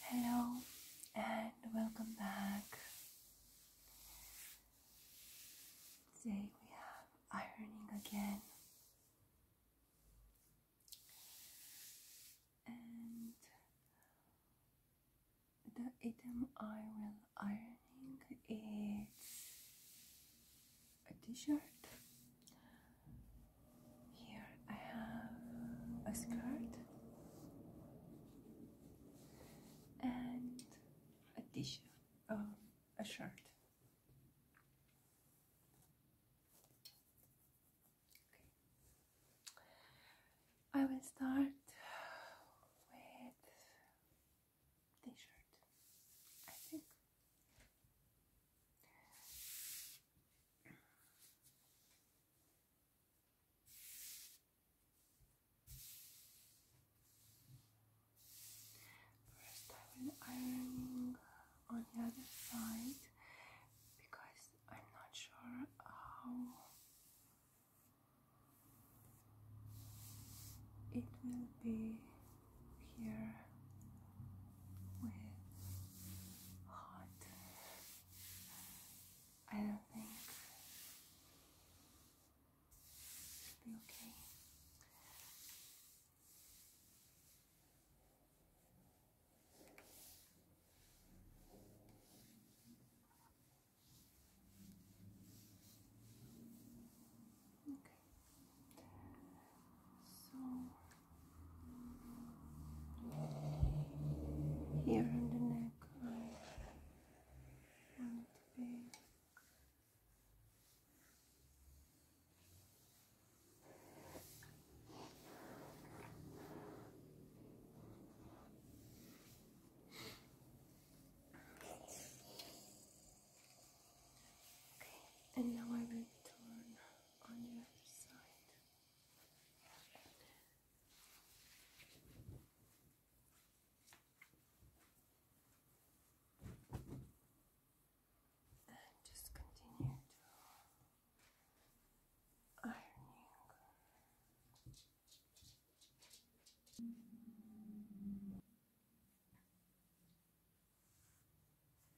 Hello and welcome back. Today we have ironing again. And the item I will ironing is a t-shirt here I have a skirt and a t-shirt, uh, a shirt. Okay. I will start with t-shirt. I think First, I will ironing on the other side because I'm not sure how it will be here with hot. I don't think it should be okay. Okay. So here in the neck, I want it to be. Okay, and now I will turn on the other side. And just continue to ironing.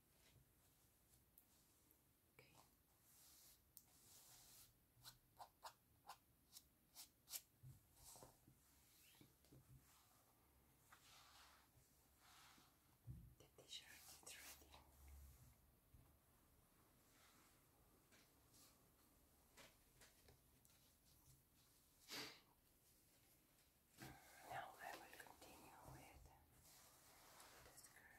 Okay. The t-shirt is ready. Now I will continue with the skirt.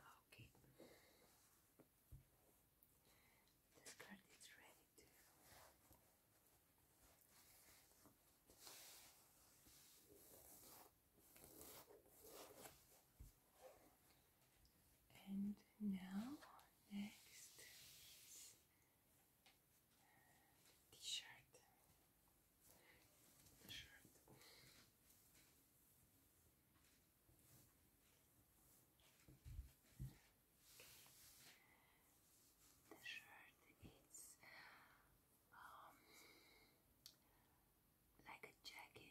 Okay. This card is ready to and now next uh, t-shirt the shirt. The shirt it's um, like a jacket.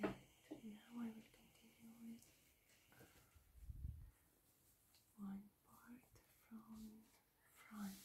And now I will continue with one part from front.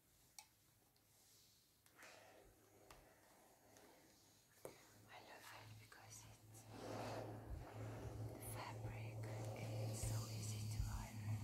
I love it because it's the fabric is so easy to iron.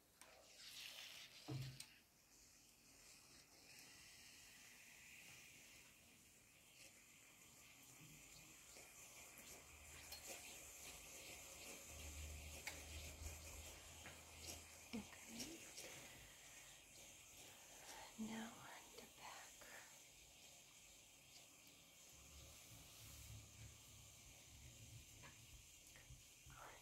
Okay. Now on the back. On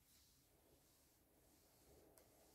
I forgot the pocket.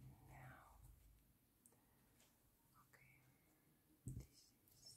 And now, okay, this is.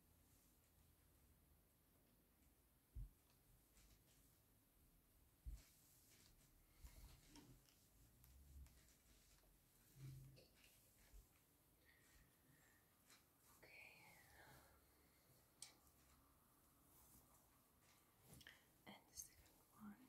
Okay. And the second one.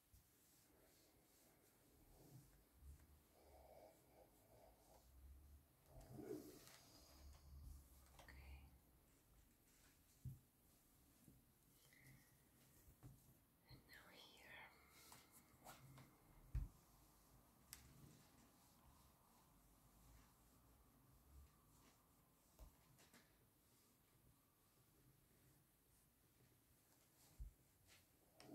And now here. Oh, what I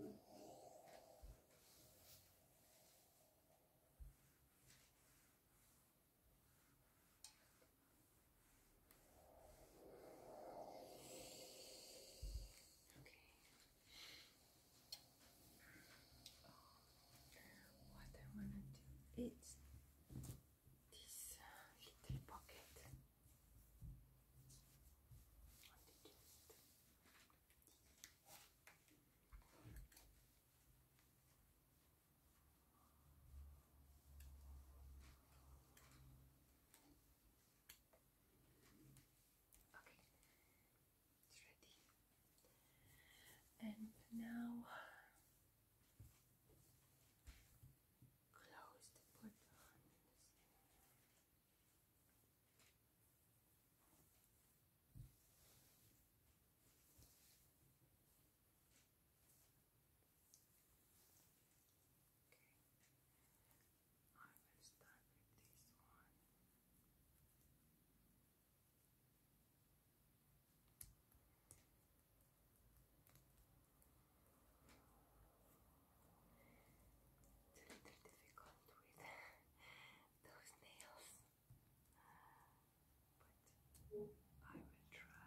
want to do is this uh, little pocket. Okay, it's ready. And now Close the book. Okay, I will start with this one. It's a little difficult with those nails, but I will try.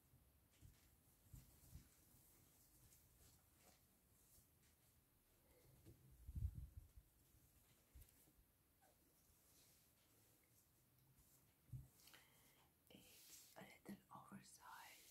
It's a little oversized.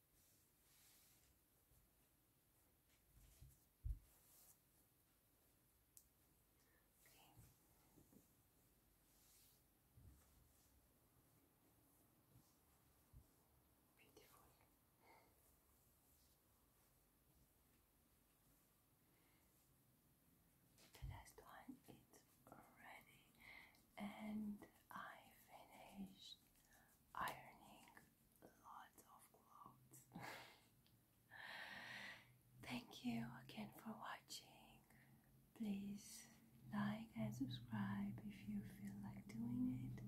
Okay. Beautiful. The last one is ready and I finished ironing lots of clothes. Thank you again for watching. Please like and subscribe if you feel like doing it.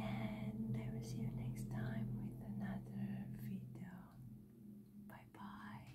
And I will see you next time with another video. Bye bye.